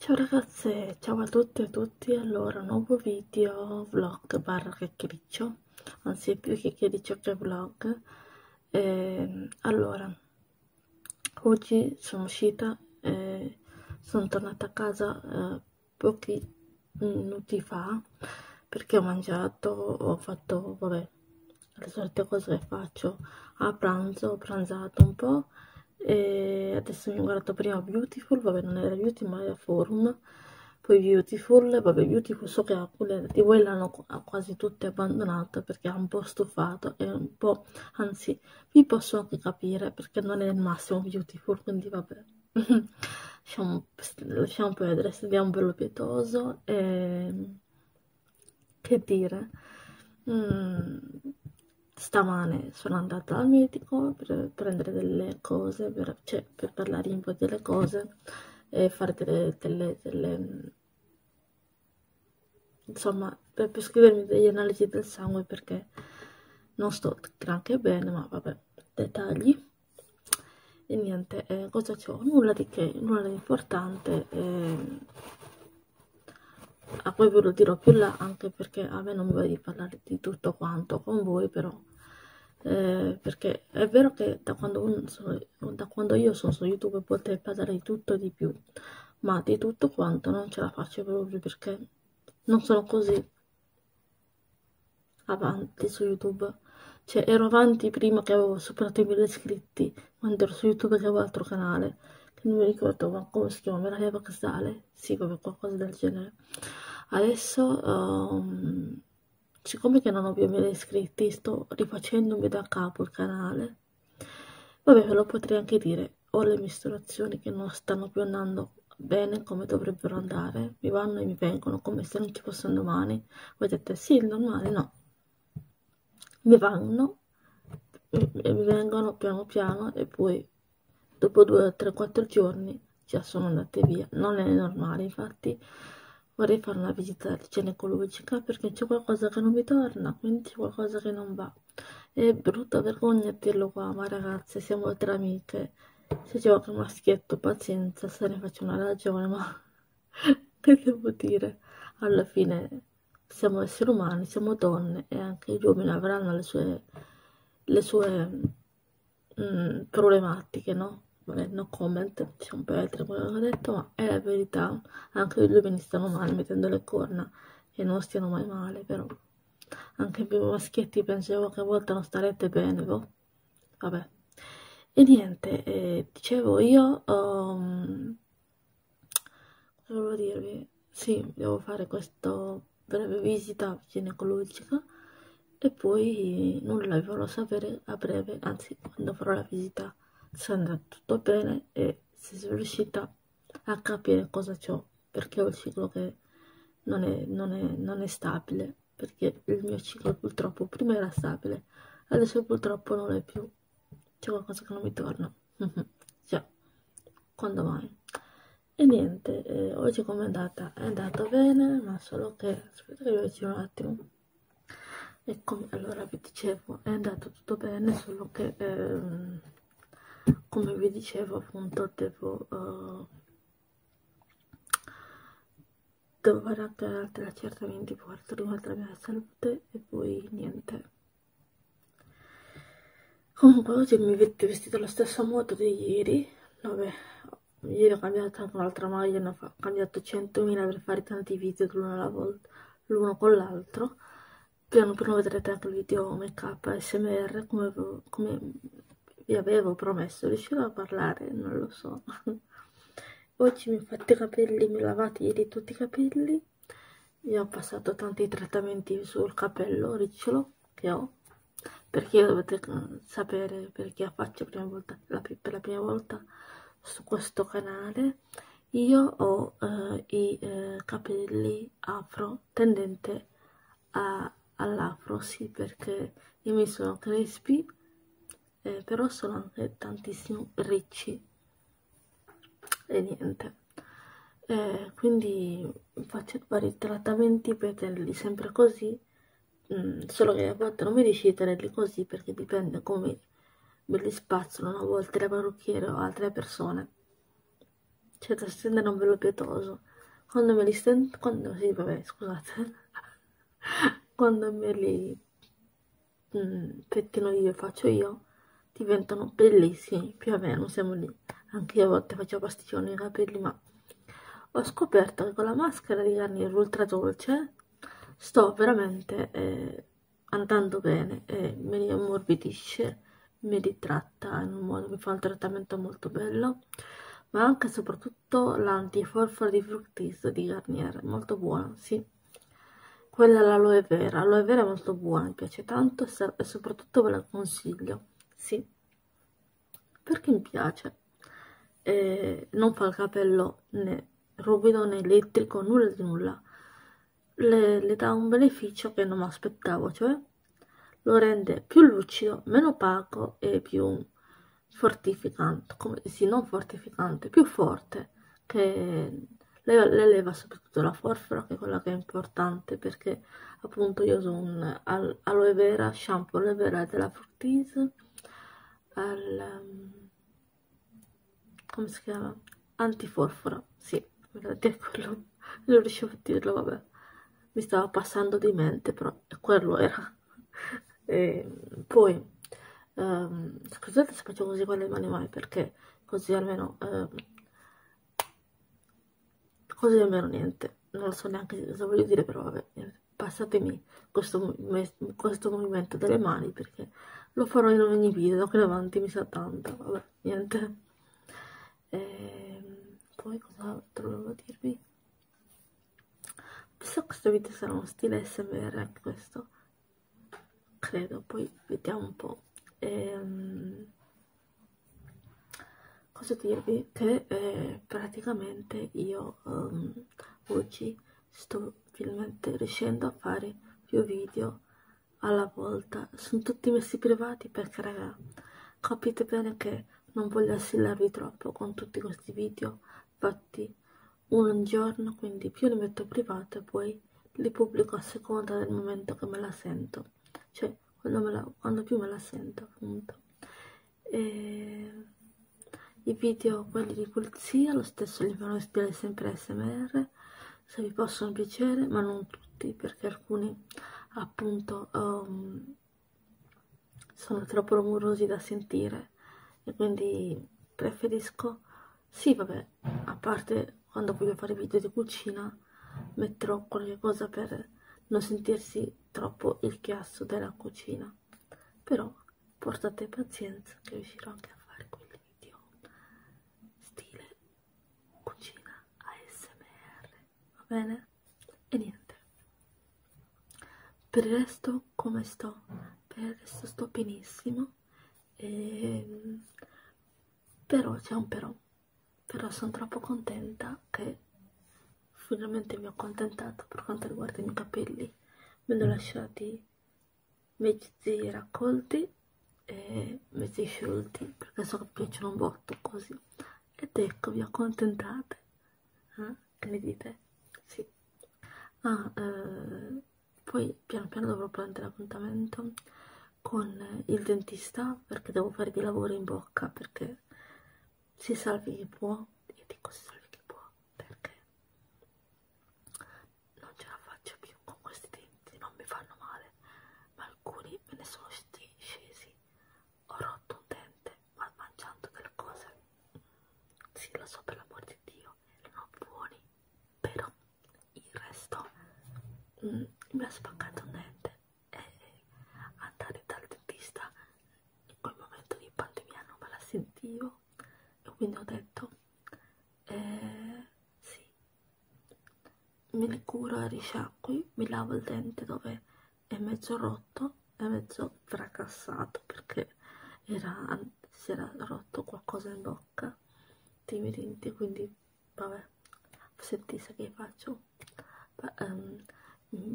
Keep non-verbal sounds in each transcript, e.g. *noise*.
Ciao ragazze, ciao a tutte e a tutti, allora nuovo video vlog barra chiacchiericcio, anzi più chiacchiericcio che vlog e, ehm, Allora, oggi sono uscita e sono tornata a casa eh, pochi minuti fa perché ho mangiato, ho fatto, vabbè, le solite cose che faccio a pranzo, ho pranzato un po' e adesso mi ho guardato prima Beautiful, vabbè non era Beauty ma era Forum poi Beautiful, vabbè Beautiful so che alcune di voi l'hanno quasi tutte abbandonata perché è un po' stufato e un po', anzi vi posso anche capire perché non è il massimo Beautiful quindi vabbè *laughs* lasciamo, lasciamo perdere, studiamo bello pietoso e ehm, che dire mm, stamane sono andata al medico per prendere delle cose, per, cioè, per parlare un po' delle cose e fare delle, delle, delle insomma, per, per scrivermi delle analisi del sangue perché non sto granché bene, ma vabbè, dettagli. E niente, eh, cosa c'ho? Nulla di che, nulla di importante. Eh, Ah, poi ve lo dirò più là anche perché a me non va di parlare di tutto quanto con voi, però eh, perché è vero che da quando, un, da quando io sono su YouTube potrei parlare di tutto e di più, ma di tutto quanto non ce la faccio proprio perché non sono così avanti su YouTube. Cioè, ero avanti prima che avevo superato i mille iscritti quando ero su YouTube avevo un altro canale, che non mi ricordo ma come si chiama, me l'aveva casale, sì vabbè qualcosa del genere. Adesso, um, siccome che non ho più mille iscritti, sto rifacendomi da capo il canale. Vabbè, ve lo potrei anche dire, ho le misurazioni che non stanno più andando bene come dovrebbero andare, mi vanno e mi vengono come se non ci fossero domani. Voi dite sì, il normale no mi vanno, mi vengono piano piano e poi dopo 2, 3, 4 giorni già sono andate via. Non è normale, infatti vorrei fare una visita ginecologica perché c'è qualcosa che non mi torna, quindi c'è qualcosa che non va. È brutta vergogna dirlo qua, ma ragazze, siamo tre amiche. Se c'è qualche maschietto, pazienza, se ne faccio una ragione, ma *laughs* che devo dire? Alla fine siamo esseri umani, siamo donne e anche gli uomini avranno le sue, le sue mh, mm, problematiche, no? Vabbè, no comment, diciamo per altro quello che ho detto, ma è la verità, anche gli uomini stanno male mettendo le corna e non stiano mai male, però anche voi maschietti pensavo che a volte non starete bene, boh. vabbè. E niente, eh, dicevo io... Um, Cosa volevo dirvi? Sì, devo fare questa breve visita ginecologica e poi nulla, vi farò sapere a breve, anzi quando farò la visita, se andrà tutto bene e se sono riuscita a capire cosa ho, perché ho il ciclo che non è, non è, non è stabile, perché il mio ciclo purtroppo prima era stabile, adesso purtroppo non è più c'è qualcosa che non mi torna cioè quando mai e niente eh, oggi com'è andata è andata bene ma solo che aspetta che vi faccio un attimo Eccomi, allora vi dicevo, è andato tutto bene, solo che ehm, come vi dicevo appunto devo, uh, devo fare anche altri accertamenti per quanto riguarda la mia salute e poi niente, Comunque oggi mi avete vestito lo stesso modo di ieri, vabbè, ieri ho cambiato anche un'altra maglia, ne ho cambiato 100.000 per fare tanti video l'uno con l'altro, piano piano vedrete anche il video make up smr come, come vi avevo promesso, riuscirò a parlare, non lo so. *laughs* Oggi mi ho fatto i capelli, mi ho lavato ieri tutti i capelli io ho passato tanti trattamenti sul capello ricciolo che ho, perché dovete mm, sapere perché faccio prima volta, la, per la prima volta su questo canale. Io ho eh, i eh, capelli afro tendente all'afro, sì, perché i miei sono crespi, eh, però sono anche tantissimo ricci e niente eh, quindi faccio vari trattamenti per tenerli sempre così mm, solo che a volte non mi riesci a tenerli così perché dipende come me li spazzolano a volte la parrucchiera o altre persone cioè da stendere un velo pietoso quando me li stendo quando sì vabbè scusate *laughs* quando me li mh, mm, che, che non io faccio io diventano bellissimi, più o meno siamo lì. Anche io a volte faccio pasticcioni nei capelli, ma ho scoperto che con la maschera di Garnier Ultra Dolce sto veramente eh, andando bene e mi ammorbidisce, mi ritratta in un modo, mi fa un trattamento molto bello, ma anche e soprattutto l'antiforfora di fructis di Garnier, molto buono, sì. Quella all'aloe vera, l'aloe vera è molto buona, mi piace tanto e soprattutto ve la consiglio, sì, perché mi piace. E eh, non fa il capello né ruvido né elettrico, nulla di nulla. Le, le dà un beneficio che non mi aspettavo, cioè lo rende più lucido, meno opaco e più fortificante, come sì, non fortificante, più forte che le, le leva subito soprattutto la forfora che è quella che è importante perché appunto io uso un aloe vera, shampoo aloe vera della Fructis al um, come si chiama? antiforfora, sì, è quello, *laughs* non riuscivo a dirlo, vabbè mi stava passando di mente però quello era *laughs* e poi um, scusate se faccio così con le mani mai perché così almeno eh, così almeno niente non lo so neanche cosa voglio dire però vabbè passatemi questo, questo movimento delle mani perché lo farò in ogni video qui davanti mi sa tanto vabbè niente e ehm, poi cos'altro volevo dirvi penso che questo video sarà uno stile smr anche questo credo poi vediamo un po' ehm, cosa dirvi che eh, praticamente io ehm, oggi sto finalmente riuscendo a fare più video alla volta sono tutti messi privati perché raga capite bene che non voglio assillarvi troppo con tutti questi video fatti un giorno quindi più le metto private, poi li pubblico a seconda del momento che me la sento, cioè quando, la, quando più me la sento appunto. E I video, quelli di pulizia, lo stesso li fanno ispirare sempre SMR, se vi possono piacere, ma non tutti, perché alcuni appunto um, sono troppo rumorosi da sentire e quindi preferisco sì, vabbè, a parte quando voglio fare video di cucina, metterò qualche cosa per non sentirsi troppo il chiasso della cucina. Però portate pazienza che riuscirò anche a fare quel video stile cucina ASMR, va bene? E niente. Per il resto come sto? Per il resto sto benissimo e, ehm, però c'è un però, però sono troppo contenta che finalmente mi ho accontentato per quanto riguarda i miei capelli. Me li ho mm. lasciati mezzi raccolti e mezzi sciolti perché so che piacciono un botto così. Ed ecco, vi accontentate. Eh? Che ne dite? Sì. Ah, eh, poi piano piano dovrò prendere appuntamento con il dentista perché devo fare dei lavori in bocca perché si salvi chi può io dico si salvi chi può perché non ce la faccio più con questi denti non mi fanno male ma alcuni me ne sono scesi ho rotto un dente ma mangiando delle cose sì lo so per l'amor di Dio erano buoni però il resto mh, mm, mi ha spaccato niente e andare dal dentista in quel momento di pandemia non me la sentivo e quindi ho detto eh, sì mi ricuro e risciacqui mi lavo il dente dove è mezzo rotto è mezzo fracassato perché era, si era rotto qualcosa in bocca bocca dei miei denti quindi vabbè sentite che faccio um,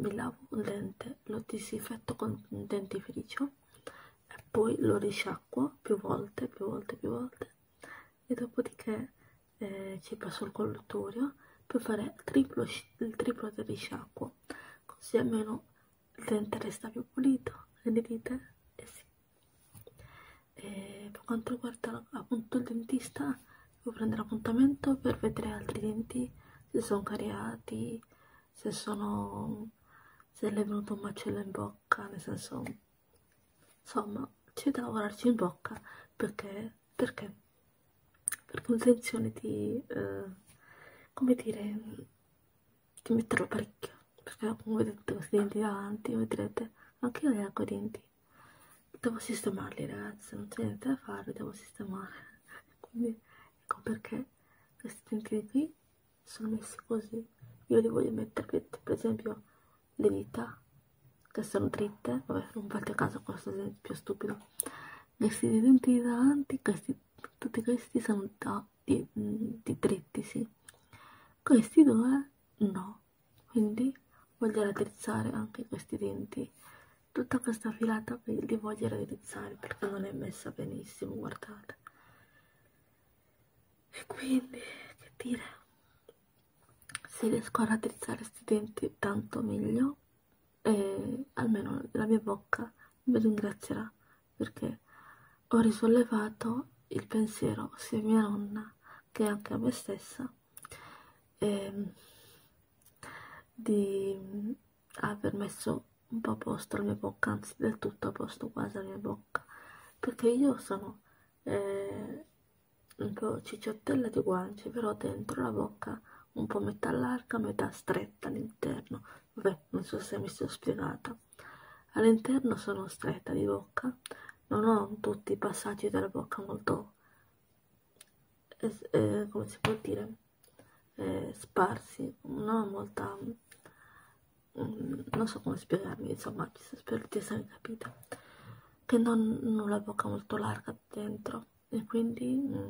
mi lavo un dente lo disinfetto con un dentifricio e poi lo risciacquo più volte più volte più volte e dopodiché eh, ci passo il collutorio per fare il triplo, il triplo del risciacquo così almeno il dente resta più pulito, le dite? Eh sì. E per quanto riguarda appunto il dentista, devo prendere appuntamento per vedere altri denti, se sono cariati, se sono se le è venuto un macello in bocca, nel senso insomma c'è da lavorarci in bocca perché perché perché un'intenzione di eh, come dire ci metterò parecchio perché come vedete questi denti davanti vedrete anche io le ho i denti devo sistemarli ragazzi non c'è niente da fare devo sistemare *laughs* quindi ecco perché questi denti qui sono messi così io li voglio mettere per esempio le dita che sono dritte vabbè non fate caso a questo esempio stupido questi denti davanti questi, tutti questi sono da di, mm, di trittisi questi due no quindi voglio raddrizzare anche questi denti tutta questa filata li voglio raddrizzare perché non è messa benissimo guardate e quindi che dire se riesco a raddrizzare questi denti tanto meglio e eh, almeno la mia bocca mi ringrazierà perché ho risollevato il pensiero sia a mia nonna che anche a me stessa eh, di aver messo un po' a posto la mia bocca, anzi del tutto a posto quasi la mia bocca, perché io sono eh, un po' cicciottella di guance, però dentro la bocca un po' metà larga, metà stretta all'interno. Vabbè, non so se mi sono spiegata. All'interno sono stretta di bocca, non ho tutti i passaggi della bocca molto, eh, come si può dire, eh, sparsi, non ho molta, mm, non so come spiegarmi, insomma, spero di essermi capita, che non, non ho la bocca molto larga dentro e quindi... Mm,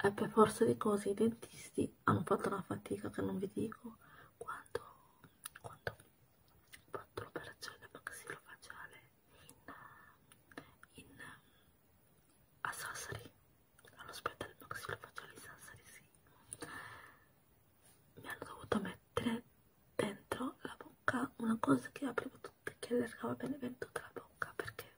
e per forza di cose i dentisti quindi hanno fatto una fatica che non vi dico quanto, quanto ho fatto l'operazione maxilofaciale in, in, a Sassari all'ospedale maxilofaciale di Sassari sì mi hanno dovuto mettere dentro la bocca una cosa che apriva tutto che allargava bene bene tutta la bocca perché,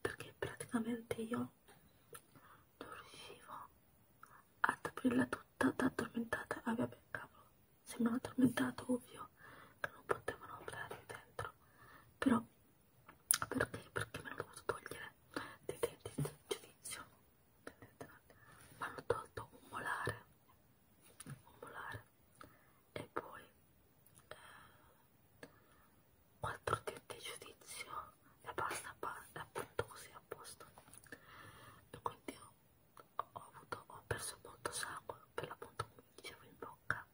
perché praticamente io non riuscivo ad aprirla tutta da addormentata. Ah vabbè, cavolo, sembrava addormentata, ovvio, che non potevano aprire dentro. Però, perché? Perché me l'ho dovuto togliere dei denti del giudizio. Mi hanno tolto un molare, un molare, e poi eh, 4 di giudizio e basta, appunto così a posto. E quindi ho, ho, avuto, ho perso molto sangue, per l'appunto come dicevo in bocca,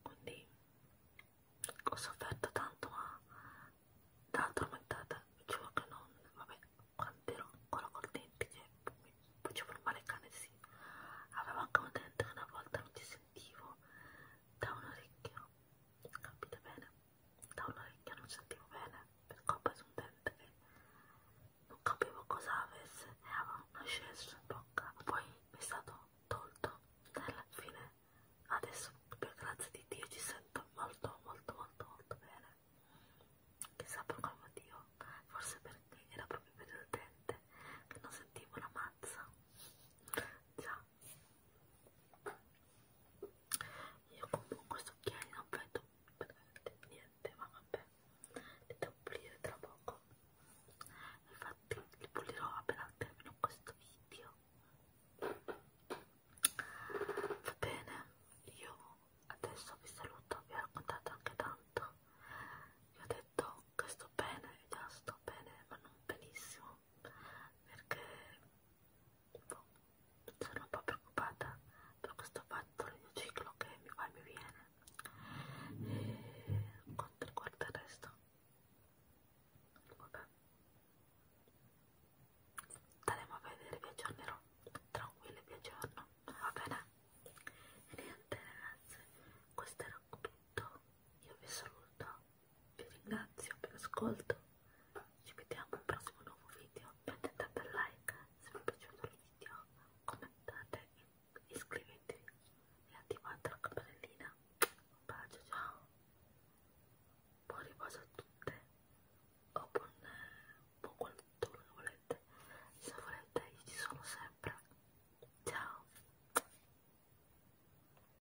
quindi ho sofferto tanto ma da tormentata, dicevo che non, vabbè, quando ero ancora col dente che cioè, mi facevo male il cane sì, avevo anche un dente che una volta non ci sentivo da un orecchio, capite bene? da un orecchio non sentivo bene per colpa di un dente che non capivo cosa avesse e aveva un ascesso in bocca poi mi è stato tolto e alla fine adesso per grazia di Dio ci sento molto molto molto molto bene chissà per quale motivo forse perché era proprio per il dente che non sentivo la mazza già io comunque questo occhiali non vedo niente, ma vabbè, li devo pulire tra poco. Infatti li pulirò appena termino questo video. Va bene, io adesso vi saluto, vi ho raccontato anche tanto. Vi ho detto che sto bene, già sto bene, ma non benissimo perché boh, sono un po' preoccupata per questo fatto del mio ciclo che mi va e mi viene e quanto riguarda il resto vabbè staremo a vedere vi aggiornerò tranquilli vi aggiorno va bene e niente ragazzi questo era tutto io vi saluto vi ringrazio per l'ascolto, ci vediamo al prossimo nuovo video, mettete un like eh. se vi è piaciuto il video, commentate, iscrivetevi e attivate la campanellina, un bacio, ciao, buon riposo a tutte o buon, eh, buon quanto volete, se volete io ci sono sempre, ciao!